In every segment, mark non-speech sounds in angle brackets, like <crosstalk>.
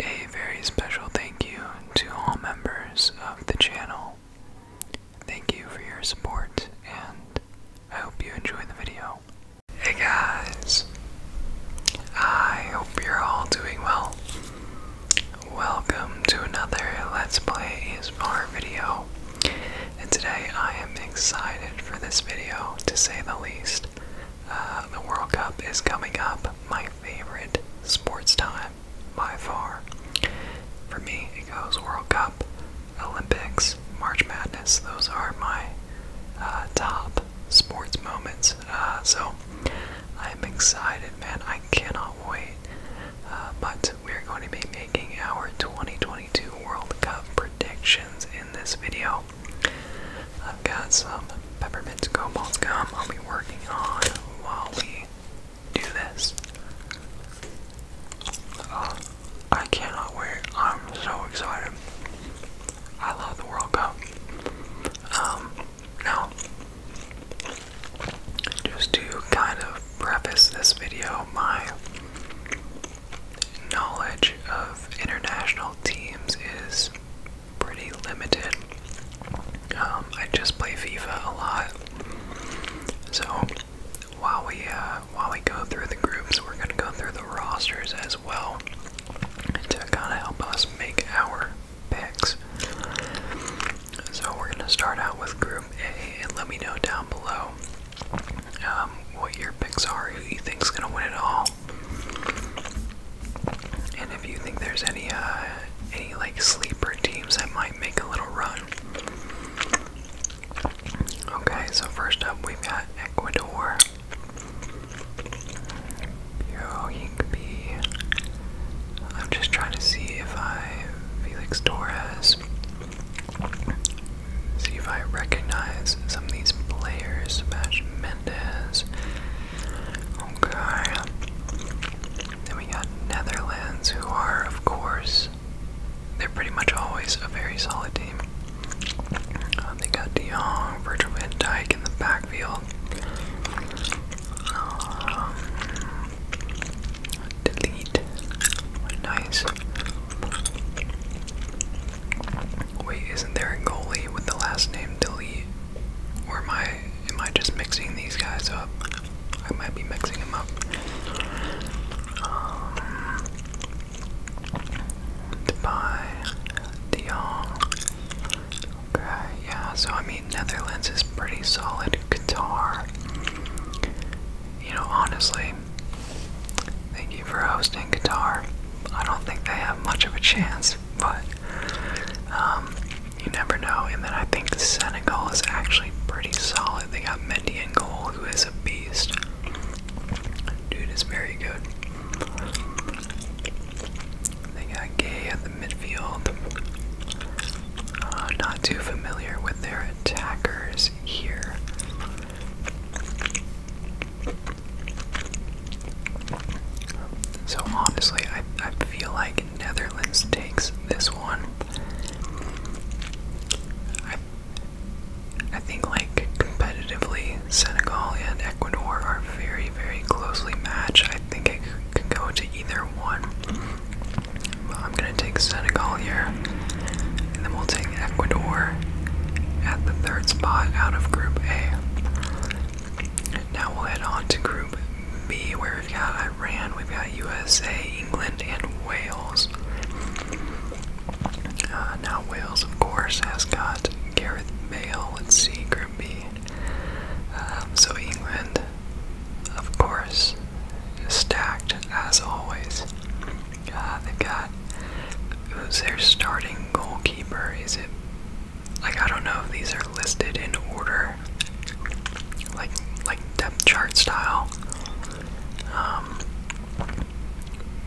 A very special thank you to all members of the channel. Thank you for your support, and I hope you enjoy the video. Hey guys! I hope you're all doing well. Welcome to another Let's Play ASMR video and today I am excited for this video to say the least. Uh, the World Cup is coming up, my favorite sports time by far. For me, it goes World Cup, Olympics, March Madness, those are my uh, top sports moments. Uh, so I'm excited, man. I cannot wait. but we're going to be making our 2022 World Cup predictions in this video. I've got some peppermint cobalt gum I'll be working on while we do this. Uh, I cannot wait. I'm so excited. I love the World Cup. Um, now, just to kind of preface this video, my knowledge of international teams is pretty limited. Um, I just play FIFA a lot, so while we uh, while we go through the groups, we're gonna go through the rosters as well to kind of help us make our picks. So we're going to start out with Group A, and let me know down below um, what your picks are, who you think's going to win it all, and if you think there's any uh, any like sleeper teams that might make a little run. Okay, so first up we've got Ecuador. Yo, I'm just trying to see if I Felix Torres See if I recognize some of these players. Sebastian Mendes. Okay. Then we got Netherlands, who are, of course, they're pretty much always a very solid team. Um, they got De Jong, Virgil van Dijk in the backfield. Um, delete. Nice. Wait, isn't there a goalie with the last name delete? Or am I am I just mixing these guys up? I might be mixing them up. Um, Dubai, Dion. Okay, yeah. So I mean, Netherlands is pretty solid. Qatar, you know, honestly, thank you for hosting Qatar. I don't think they have much of a chance, but um, you never know. And then I think Senegal is actually pretty solid. They got Mendy and Gold, who is a beast. Dude is very good. They got Gay at the midfield. Uh, not too familiar with their attackers here. So honestly, I, I feel like Netherlands takes this one. I, I think like competitively, Senegal and Ecuador are very, very closely matched. I think it can go to either one. But I'm going to take Senegal here. And then we'll take Ecuador at the third spot out of Group A. now we'll head on to Group B, where we've got Iran, we've got USA, England, and Wales. Uh, now, Wales, of course, has got Gareth Bale. with C see, Group B. Um, so, England, of course, stacked as always. Uh, they got who's their starting goalkeeper? Is it like I don't know if these are listed in order, like like depth chart style. Um,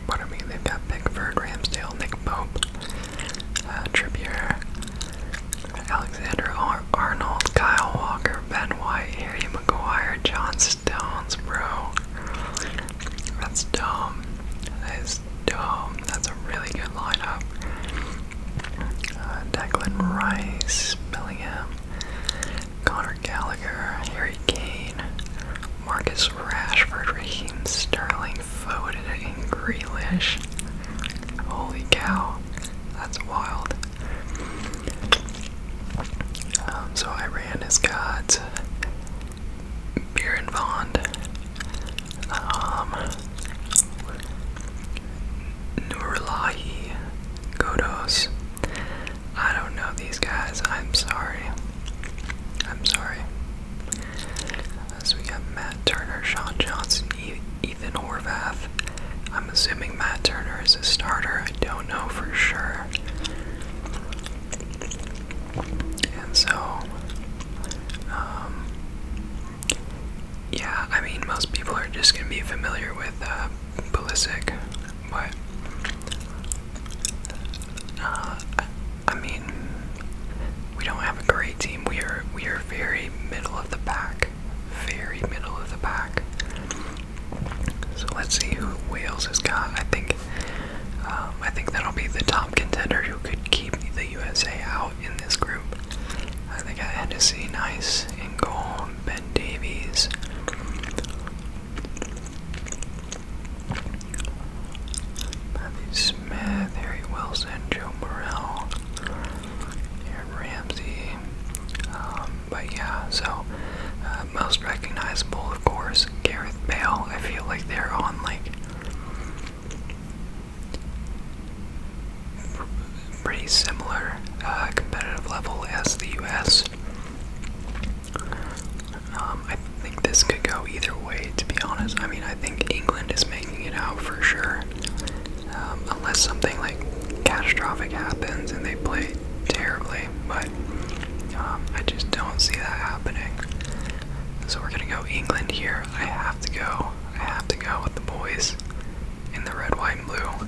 but I mean, they've got Pickford, Ramsdale, Nick Pope, uh, Trippier, Alex Alexander Arnold, Kyle Walker, Ben White, Harry McGuire, John Stones, bro. That's dumb. That is dumb. That's a really good lineup. Uh, Declan Rice, Bellingham, Connor Gallagher, Harry Kane, Marcus Rashford, Raheem Sterling, Foden, and Grealish. Holy cow, that's wild. Um, so Iran has got Beer and Bond, um, I don't know these guys. I'm sorry. I'm sorry. Uh, we got Matt Turner, Sean Johnson, Ethan Horvath. I'm assuming Matt Turner is a starter. I don't know for sure. And so, um, yeah, I mean, most people are just going to be familiar with ballistic. Uh, but uh, I mean, we don't have a great team. We are we are very middle of the pack very middle of the pack. So let's see who Wales has got. I think um, I think that'll be the top contender who could keep the USA out in this group. I think I had to see nice in goal, Ben Davies. Matthew Smith, Harry Wilson, Joe Morrell, Aaron Ramsey, um, but yeah, so uh, most recognizable, of course, Gareth Bale. I feel like they're on like pretty similar uh, competitive level as the U.S. Um, I think this could go either way, to be honest. I mean, I think England is making it out for sure, um, unless something like catastrophic happens and they play terribly. But um, I just don't see that happening. So we're gonna go England here. I have to go. I have to go with the boys in the red, white, and blue.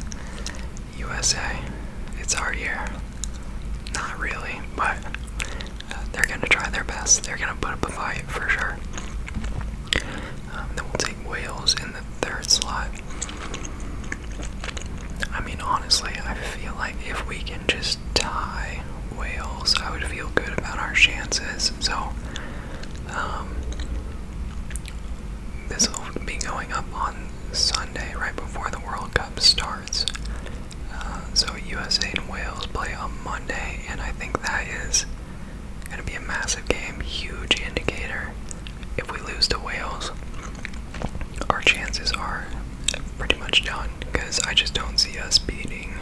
USA. It's our year. Not really, but uh, they're gonna try their best. They're gonna put up a fight for sure. Um, then we'll take Wales in the third slot. I mean, honestly, I feel like if we can just tie Wales, I would feel good about our chances. So, um, this will be going up on Sunday, right before the World Cup starts. Uh, so, USA and Wales play on Monday, and I think that is going to be a massive game, huge indicator if we lose to Wales, our chances are pretty much done because I just don't see us beating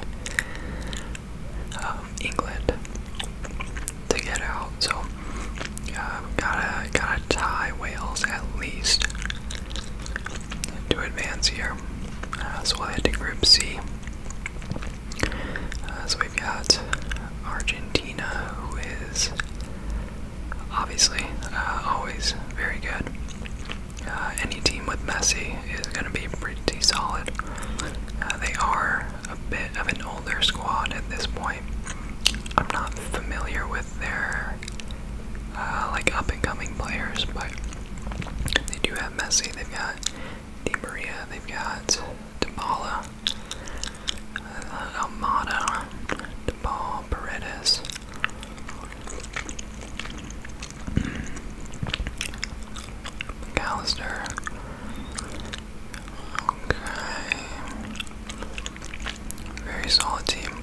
um, England to get out. So uh, gotta gotta tie Wales at least to advance here. Uh, so we head to Group C. Uh, so we've got Argentina, who obviously uh, always very good. Uh, any team with Messi is going to be pretty solid. Uh, they are a bit of an older squad at this point. I'm not familiar with their like up and coming players, but they do have Messi. They've got Di Maria. They've got Dybala. Almada, DePaul, Paredes. McAllister. Okay. Very solid team.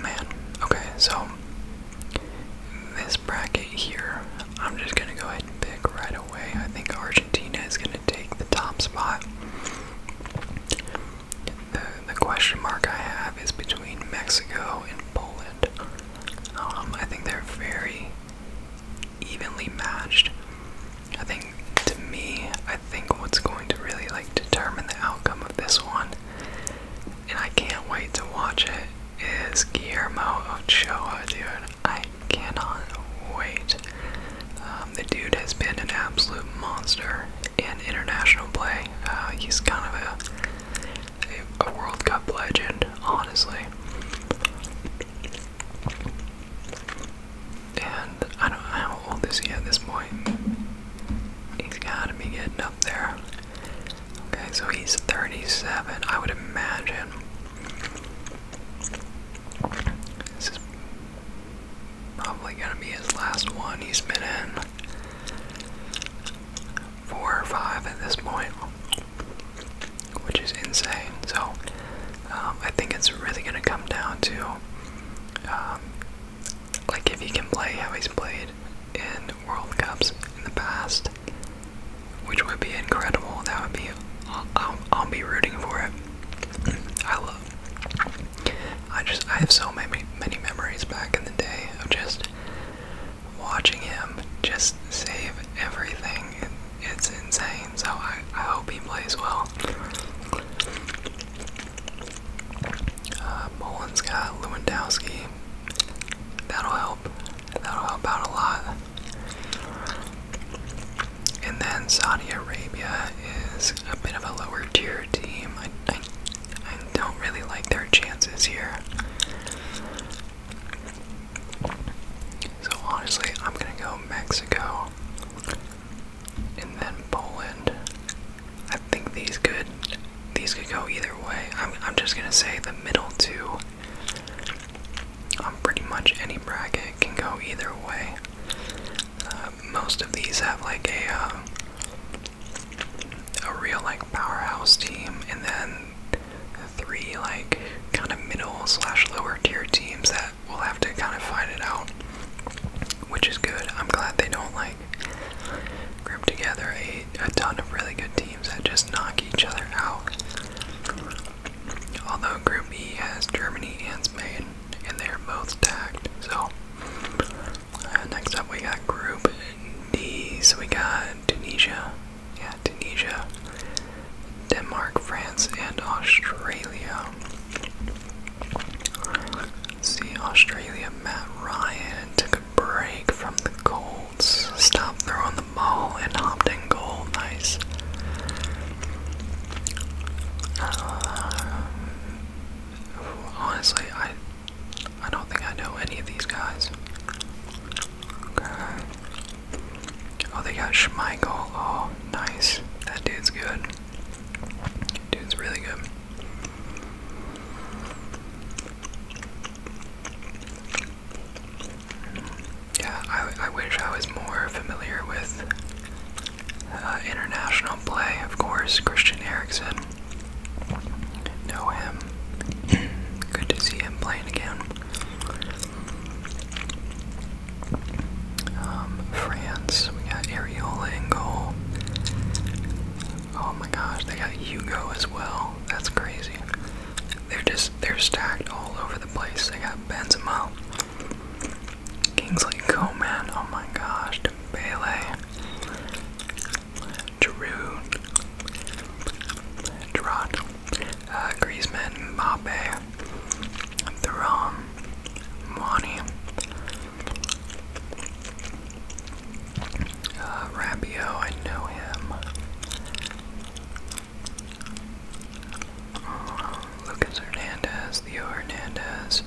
Man. Okay, so this bracket here, I'm just gonna go ahead and pick right away away. I think Argentina is going to take the top spot. The, question mark I have is between Mexico and Poland. Um, I think they're very evenly matched. I think to me, I think what's going to really like determine the outcome of this one, and I can't wait to watch it, is Guillermo Ochoa, dude. I cannot wait. Um, the dude has been an absolute monster in international play. Uh, he's kind of a, a, a World Cup legend, honestly. And I don't know how old is he at this point. He's gotta be getting up there. Okay, so he's 37. I would imagine this is probably gonna be his last one. He's been in four or five at this point, which is insane. So um, I think it's really gonna come down to um, like if he can play how he's played in World Cups in the past, which would be incredible. That would be i I'll, I'll be rooting for it. I love. I just I have so many many memories back in the day of just watching him just save everything. it's insane. So I I hope he plays well. Uh, has got Lewandowski. That'll help. That'll help out a lot. And then Saudi Arabia is a bit of a lower tier team. I, don't really like their chances here. So honestly, I'm gonna go Mexico and then Poland. I think these could these could go either way. I'm I'm just gonna say the middle two um, pretty much any bracket can go either way. Uh, most of these have like a uh, a real like powerhouse team, and then three like kind of middle slash lower tier teams that will have to kind of find it out, which is good. I'm glad they don't like group together a, a ton of really good teams that just knock each other out. Although Group E has Germany and Spain, and they are both tagged. So, uh, next up we got Group D. So we got Tunisia, yeah, Tunisia, Denmark, France, and Australia. See, Australia, Matt Ryan took a break from the Colts, stopped throwing the ball, and hopped nice. Um, honestly, I I don't think I know any of these guys. Okay. Oh, they got Schmeichel. Oh, nice. That dude's good. Dude's really good. Yeah, I, wish I was more familiar with uh, international play, of course. Christian Eriksen. Know him. <clears throat> Good to see him playing again. Um, France, we got Areola in goal. Oh my gosh, they got Hugo as well. That's crazy. They're just they're stacked all over the place. They got Benzema. Kingsley Coman, oh my gosh, Dembele, Giroud, Gerard, uh, Griezmann, Mbappe, Thuram, Mwani, uh, Rabiot, I know him. Lucas Hernandez, Theo Hernandez,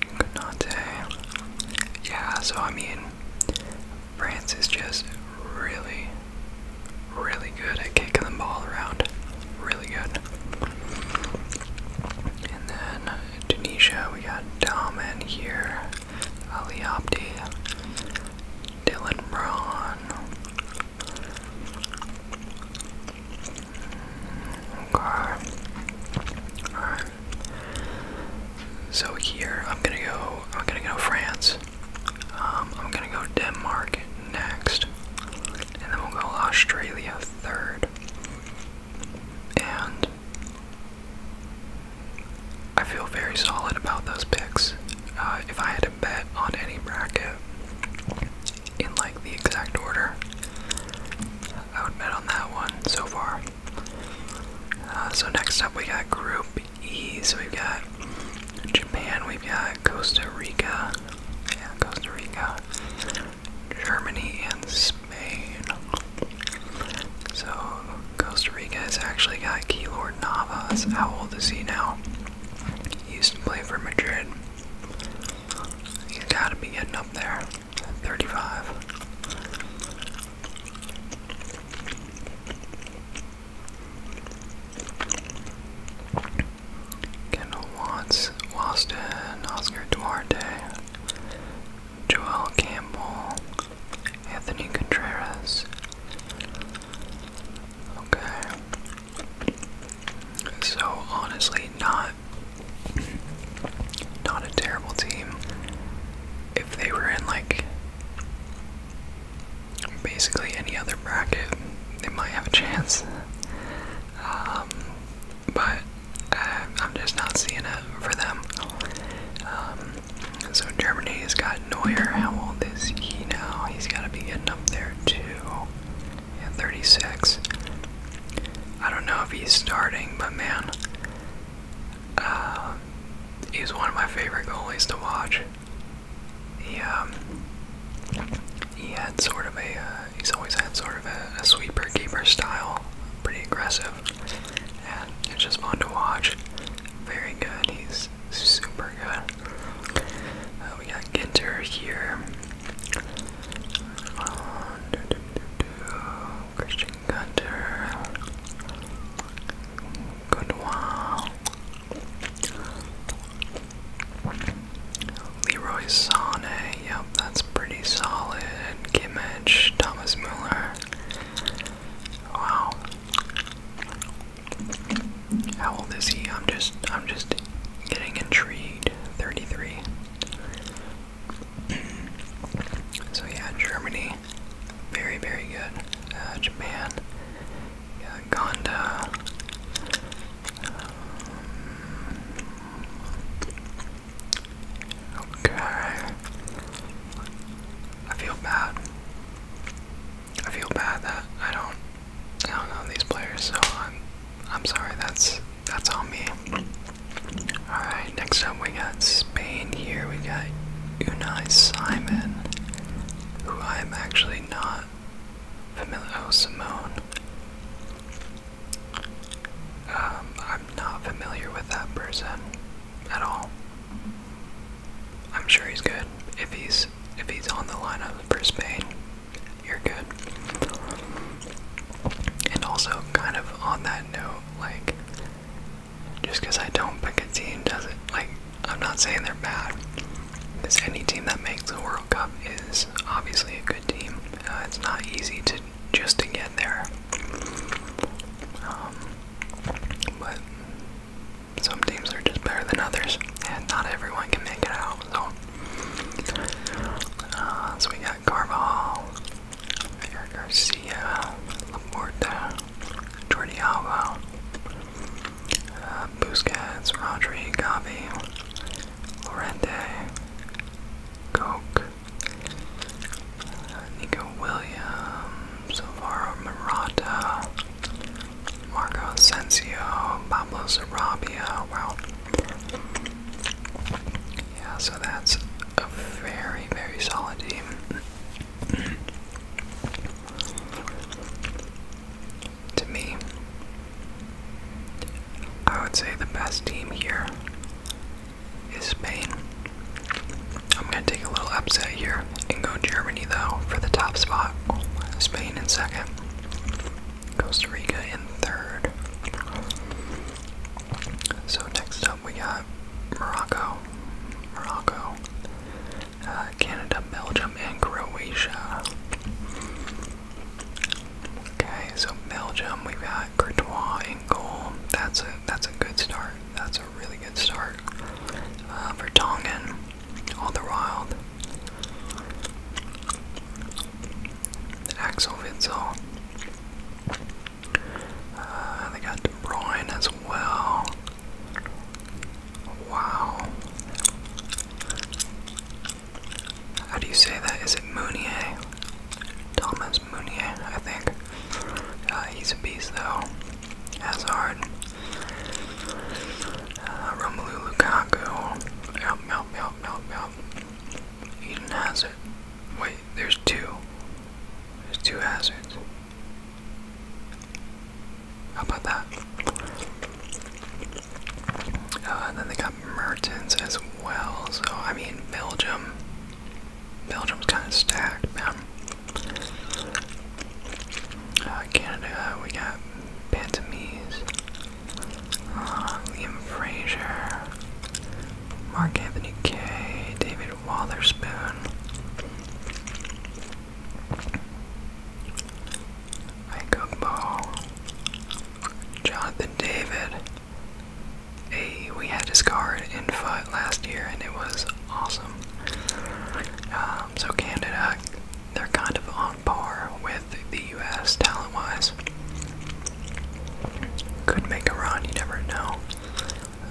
Canate. Yeah, so I mean, France is just really, really good at kicking the ball around. Really good. And then Tunisia, we got Daman here, Ali Abdi, Dylan Braun, Okay. Alright. So here I'm gonna go I'm gonna go France. Um, I'm gonna go Denmark next. And then we'll go Australia third. And I feel very solid about those picks. Uh, if I had bet on any bracket in like the exact order. I would bet on that one so far. Uh, so next up we got Group E. So we've got Japan, we've got Costa Rica, yeah, Costa Rica, Germany, and Spain. So Costa Rica has actually got Keylor Navas. How old is he now? He used to play for Madrid. He's gotta be getting up there. 35. Kendall Watts, Waston, Oscar Duarte, Joel Campbell, Anthony Contreras, Okay. So honestly, not not a terrible team. If they were in like basically any other bracket, they might have a chance. Um, but uh, I'm just not seeing it for them. Um, so Germany's got Neuer. How old is he now? He's got to be getting up there too. Yeah, 36. I don't know if he's starting, but man, uh, he's one of my favorite goalies to watch. He um, he had sort of a uh, he's always had sort of a sweeper keeper style, pretty aggressive, and it's just fun to watch. Very good. He's super good. Uh, we got Ginter here. Um, Christian Gunter. Goodwill. Leroy Sané, yep, that's pretty solid. Kimmich, Thomas Muller. Wow. How old is he? I'm just I'm just getting intrigued. 33. <clears throat> so yeah, Germany, very very good. Uh, Japan, Uganda. Um, okay. I feel bad. I feel bad that I don't, I don't know these players, so I'm, I'm sorry. That's that's on me. All right, next up we got Spain. Here we got Unai Simon, who I am actually not familiar. Oh, Simone. Um, I'm not familiar with that person at all. I'm sure he's good. If he's if he's on the lineup for Spain, you're good. And also, kind of on that note, like just because I don't pick a team doesn't like I'm not saying they're bad. Because any team that makes the World Cup is obviously a good team. Uh, it's not easy to just to get there. Um, but some teams are just better than others, and not everyone can make it out. So, uh, we got Carvajal, Eric Garcia, Laporta, Jordi Alba, uh, Busquets, Rodri, Gavi, Lorente, Coke, uh, Nico Williams, Alvaro Morata, Marco Asensio, Pablo Sarabia. Well, Yeah, so that's a very, very solid team. to me, I would say the best team here is Spain. I'm going to take a little upset here and go Germany, though, for the top spot. Spain in second. Costa Rica in third. So next up we got Morocco. Morocco. Uh, Canada, Belgium, and Croatia. Okay, so Belgium, we've got Courtois in goal. That's a that's a good start. That's that's a really good start uh, for Tongan. All the wild. Axel Witzel. Uh, they got De Bruyne as well. Wow. How do you say that? Is it Mounier? Thomas Mounier, I think. Uh, he's a beast, though. As hard. Uh, Romelu Lukaku. Yep, yep, yep, yep, yep. Eden Hazard. Wait, there's two. There's two hazards. How about that? Uh, and then they got Mertens as well. So, I mean, Belgium. Belgium's kind of stacked, man. Uh, Canada, we got Pantomies, uh, Liam Fraser, Mark Anthony K, David Watherspoon. Ikugbo, Jonathan David. we had his card in fight last year, and it was awesome. Um, so Canada, they're kind of on par with the U.S. talent-wise. Could make a run, you never know.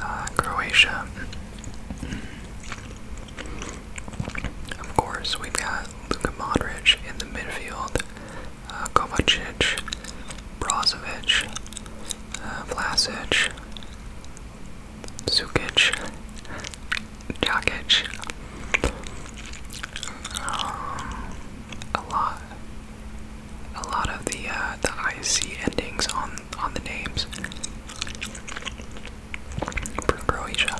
Uh, Croatia. Mm-hmm. Of course, we've got Luka Modric in the midfield, uh, Kovacic, Brozovic, uh, Vlasic, Zukic, Jakic, um, a lot, a lot of the uh, the IC endings on on the names for Croatia.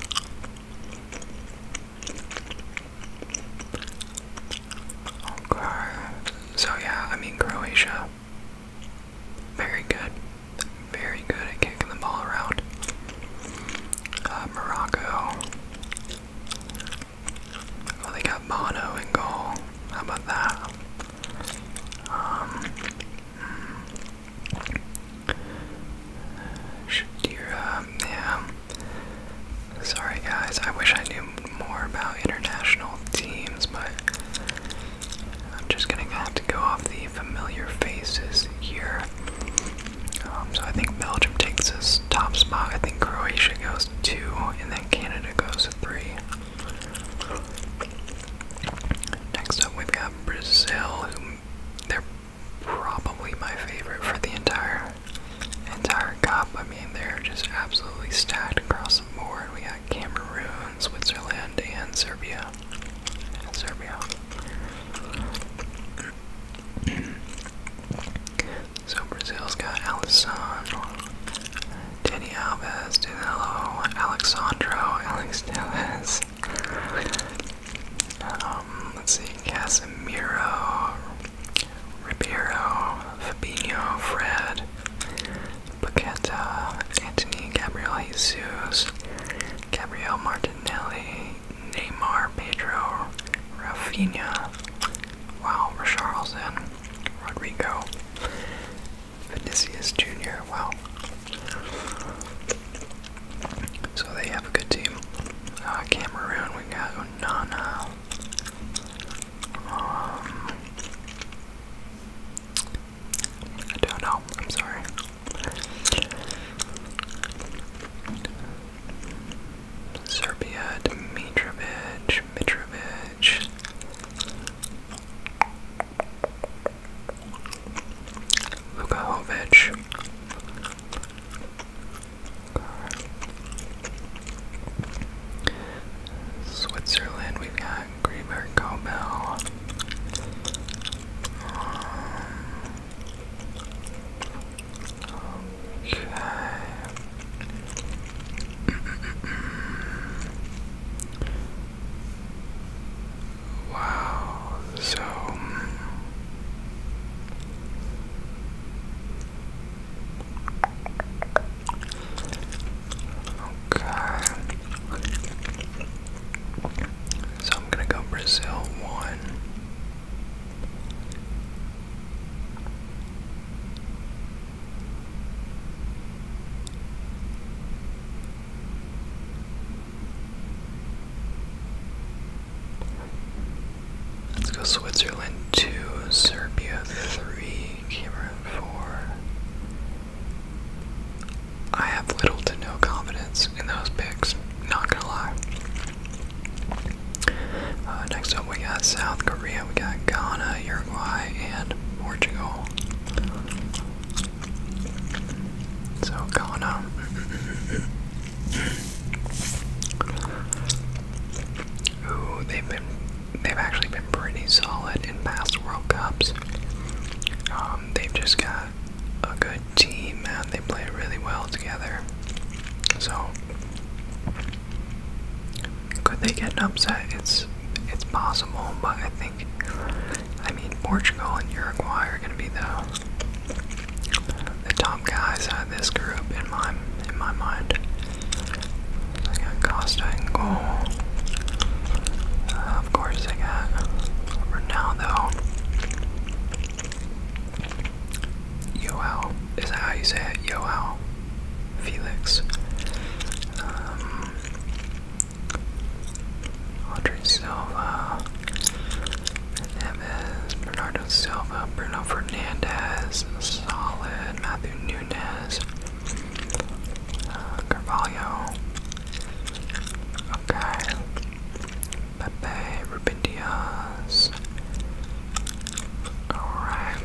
Okay, so yeah, I mean Croatia. Very good. Very good at kicking the ball around. Uh, Morocco. they got Bono in goal. How about that? Um, hmm. yeah. Sorry, guys. I wish I knew more about international teams, but I'm just gonna have to go off the familiar faces here. Um, so I think Belgium takes this top spot. I think Croatia goes two, and then Canada goes three. Next up, we've got Brazil, who they're probably my favorite for the entire entire cup. I mean, they're just absolutely stacked across the board. We got Cameroon, Switzerland, and Serbia. Serbia. <clears throat> so Brazil's got Alisson, Danny Alves, Danilo, Alexandro, Alex Tellez. Um, let's see, Casemiro, Ribeiro, Fabinho, Fred, Paqueta, Anthony Gabriel Jesus, Gabriel Martinelli, Neymar, Pedro, Rafinha, wow, Richarlison, Rodrigo, Vinicius Jr., wow. So they have a good team. Uh, Cameroon, we got Onana. Um, I don't know. I'm sorry. Serbia, Dimitrovic, Mitrovic. Lukahovic. Switzerland, we've got uh, Greenberg Cowbell. okay. wow, so. Okay. So I'm gonna go Brazil one. Let's go Switzerland two, Serbia three. Cameron for. I have little to no confidence in those picks, not gonna lie. Uh, next up, we got South Korea, we got Ghana, Uruguay, and Portugal. So, Ghana. <coughs> Ooh, they've been they've actually been pretty solid in past World Cups. Um, they've just got a good team and they play really well together. So could they get an upset? It's it's possible, but I think I mean Portugal and Uruguay are gonna be the the top guys out of this group in my in my mind. I got Costa and goal. of course, I got Ronaldo. Yoel, is that how you say it? Yoel, Felix, um, Audrey Silva, Neves, Bernardo Silva, Bruno Fernandez, Solid, Matthew Nunez, uh, Carvalho, okay, Pepe, Ruben alright.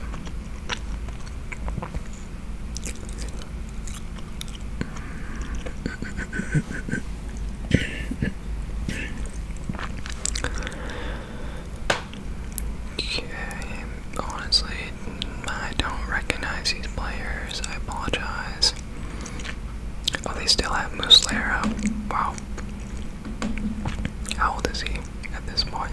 okay, honestly, I don't recognize these players. I apologize. Oh, they still have Muslera. Wow. How old is he at this point?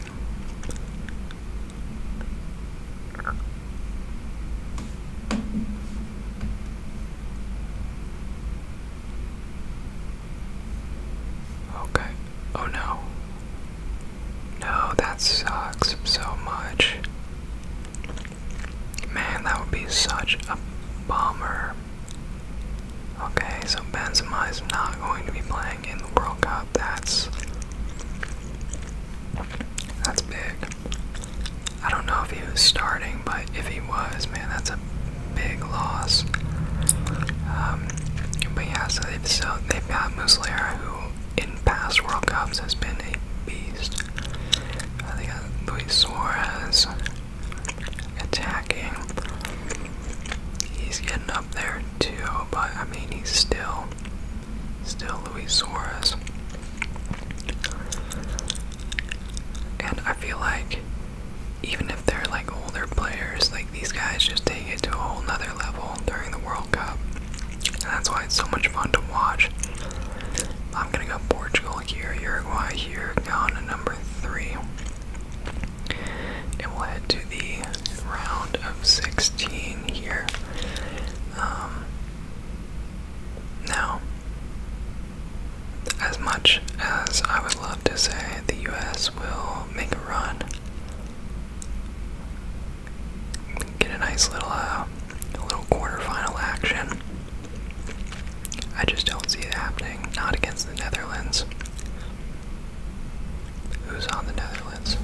Okay. Oh no. No, that sucks so much. Man, that would be such a bummer. Okay, so Benzema is not going to be playing in the World Cup. That's that's big. I don't know if he was starting, but if he was, man, that's a big loss. Um, but yeah, so they've so they got Muslera, who in past World Cups has been a beast. Uh, they Luis Suarez attacking. He's getting up there too, but I mean he's still still Luis Suarez. And I feel like even if they're like older players, like these guys just take it to a whole other level during the World that's why it's so much fun to watch. I'm gonna go Portugal here, Uruguay here, Ghana number three. And we'll head to the round of 16 here. Um, now, as much as I would love to say the US will make a run, get a nice little uh, little quarterfinal action. I just don't see it happening. Not against the Netherlands. Who's on the Netherlands?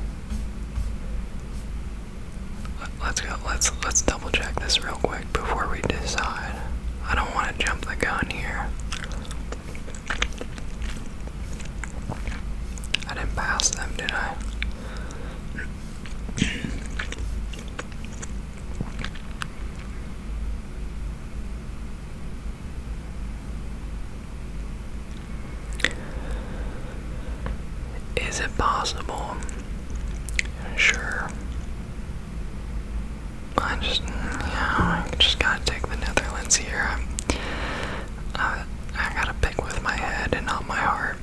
Let's go. Let's let's double check this real quick before we decide. I don't want to jump the gun here. I didn't pass them, did I? Is it possible? Sure. I just, yeah, I just gotta take the Netherlands here. Uh, I gotta pick with my head and not my heart.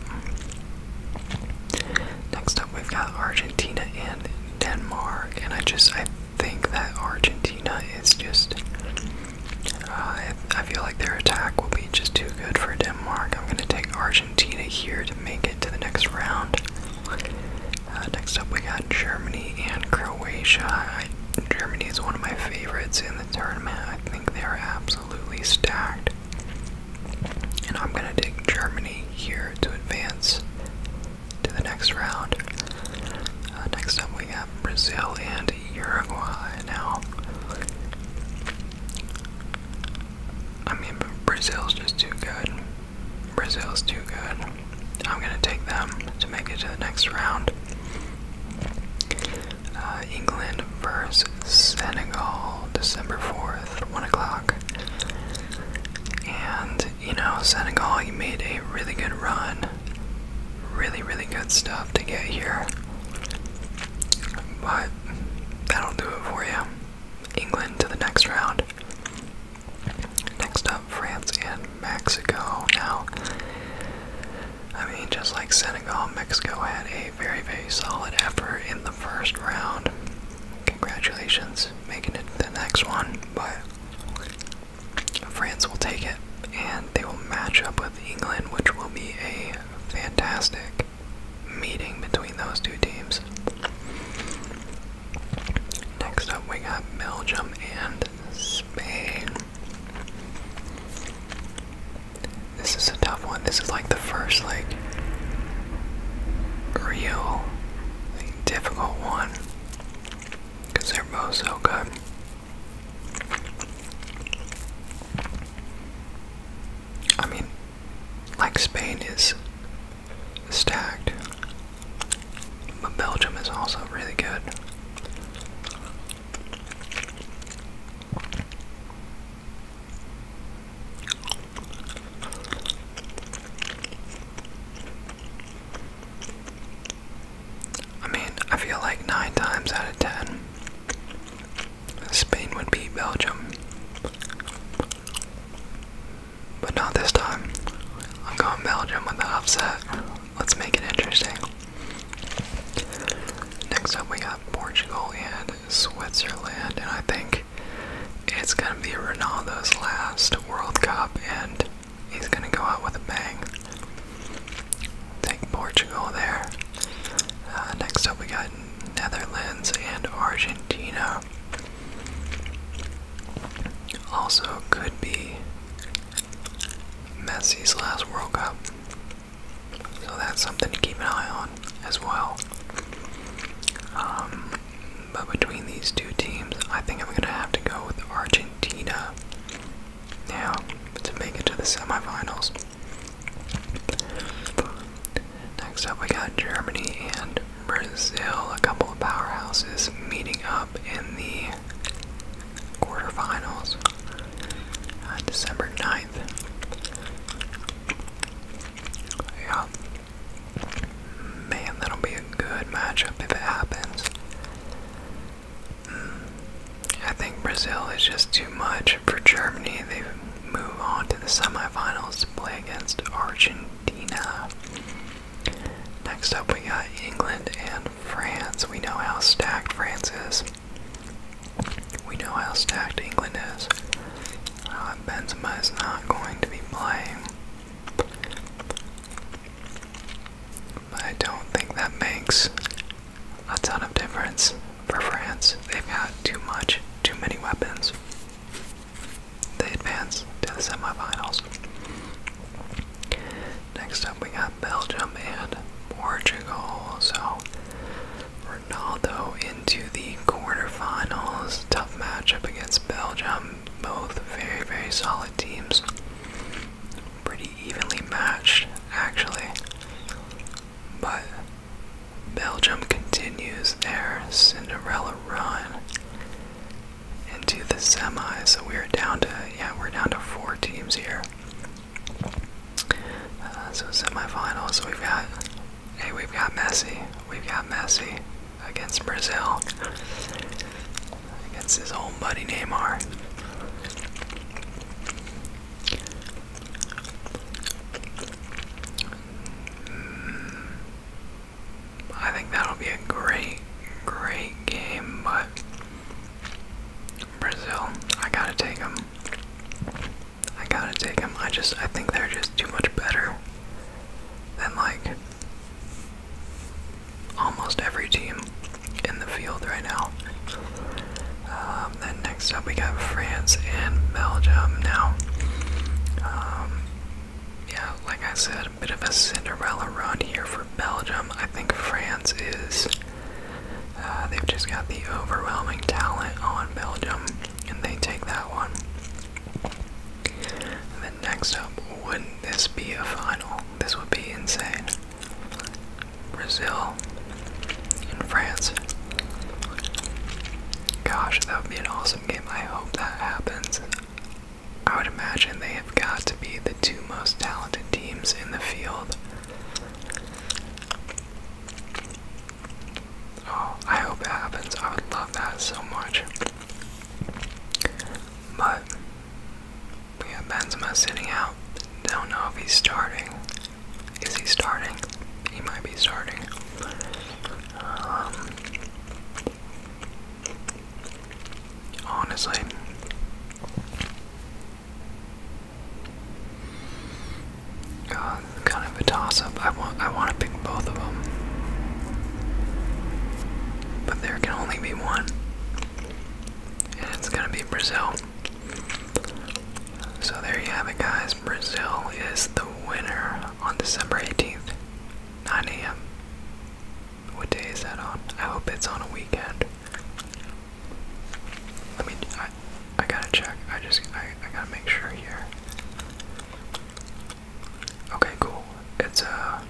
Next up, we've got Argentina and Denmark, and I just I think that Argentina is just. Uh, I, I feel like their attack will be just too good for Denmark. I'm gonna take Argentina here to make it to the next round. Uh, next up, we got Germany and Croatia. Germany is one of my favorites in the tournament. I think they are absolutely absolutely stacked. And I'm going to take Germany here to advance to the next round. Uh, next up, we have Brazil and Uruguay. Now, I mean, Brazil's just too good. Brazil's too good. I'm going to take them to make it to the next round. Uh, England versus Senegal, December 4th, 1 o'clock. And, you know, Senegal, you made a really good run. Really, really good stuff to get here. But that'll do it for you. England to the next round. Next up, France and Mexico. Now, I mean, just like Senegal, Mexico had a very, very solid effort in the first round. Congratulations, making it to the next one. But France will take it, and they will match up with England, which will be a fantastic meeting between those two teams. Next up, we got Belgium and Spain. This is a tough one. This is like the first like real difficult one because they're both so good. I mean, like Spain is stacked, but Belgium is also really good. I mean, I feel like nine times out of ten, Spain would beat Belgium. But not this time. I'm going Belgium with the upset. Let's make it interesting. Next up, we got Portugal and Switzerland, and I think it's going to be Ronaldo's last World Cup, and he's going to go out with a bang. Take Portugal there. Uh, next up, we got Netherlands and Argentina. Also, could be Messi's last World Cup. So that's something to keep an eye on as well. Um, but between these two teams, I think I'm going to have to go with Argentina now to make it to the semifinals. Next up, we got Germany and Brazil, a couple of powerhouses meeting up in the quarterfinals on uh, December 9th. Yeah. Man, that'll be a good matchup if it happens. Mm. I think Brazil is just too much for Germany. They move on to the semifinals to play against Argentina. Next up, we got England and France. We know how stacked France is. We know how stacked England is. Uh, Benzema is not going to be playing. But I don't think that makes a ton of difference for France. They've got too much, too many weapons. They advance to the semifinals. Next up, we got Belgium and Portugal. So Ronaldo into the quarterfinals. Tough matchup against Belgium. Both very, very solid teams. Pretty evenly matched, actually. But Belgium continues their Cinderella run into the semis. So we're down to yeah, we're down to four teams here. Uh, so semifinals, we've got hey, we've got Messi, we've got Messi against Brazil, against his own buddy Neymar. Mm, I think that'll be a great, great game, but Brazil, I gotta take them. I gotta take them. I just, I think they're just too much better than like almost every team in the field right now. Um, then next up we got France and Belgium. Now, um, yeah, like I said, a bit of a Cinderella run here for Belgium. I think France is uh, they've just got the overwhelming talent on Belgium, and they take that one. then next up, wouldn't this be a final? This would be insane. Brazil and France. Gosh, that would be an awesome game. I hope that happens. I would imagine they have got to be the two most talented teams in the field. Oh, I hope it happens. I would love that so much. But we have Benzema sitting out. Don't know if he's starting. Is he starting? He might be starting. Um, honestly, kind of a toss-up. I want I want to pick both of them, but there can only be one, and it's gonna be Brazil. So there you have it, guys. Brazil is the winner on December 18th, 9 a.m. What day is that on? I hope it's on a weekend. Let me. I, I gotta check. I just. I, I gotta make sure here. Okay, cool. It's a. Uh,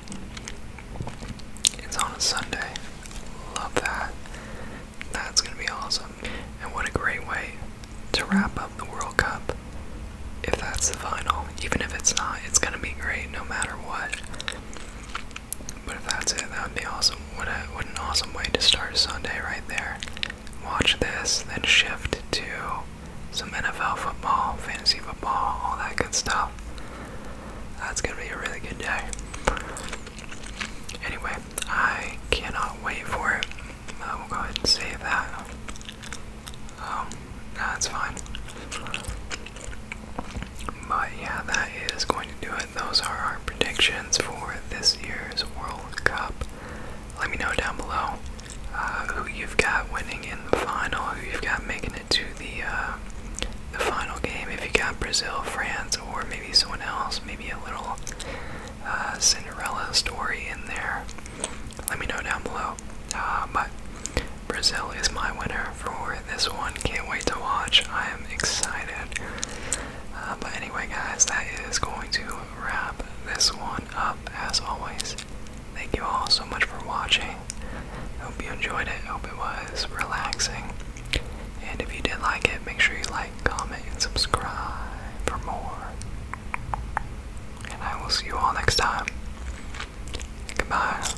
it's on a Sunday. Love that. That's gonna be awesome. And what a great way to wrap up the World Cup. If that's the final, even if it's not, it's gonna be great no matter what. But if that's it, that would be awesome. What, an awesome way to start Sunday right there. Watch this, then shift to some NFL football, fantasy football, all that good stuff. That's gonna be a really good day. Anyway, I cannot wait for it. I will go ahead and save that. Um, that's fine. But yeah, that is going to do it. Those are our predictions for this year's World Cup. Let me know down below uh, who you've got winning in the final, who you've got making it to the uh, the final game. If you got Brazil, France, or maybe someone else, maybe a little uh, Cinderella story in there. Let me know down below. but Brazil is my winner for this one. Can't wait to watch. I am excited. Uh, but anyway, guys, that is going to wrap this one up. As always, thank you all so much for watching. Hope you enjoyed it. Hope it was relaxing. And if you did like it, make sure you like, comment, and subscribe for more. And I will see you all next time. Goodbye.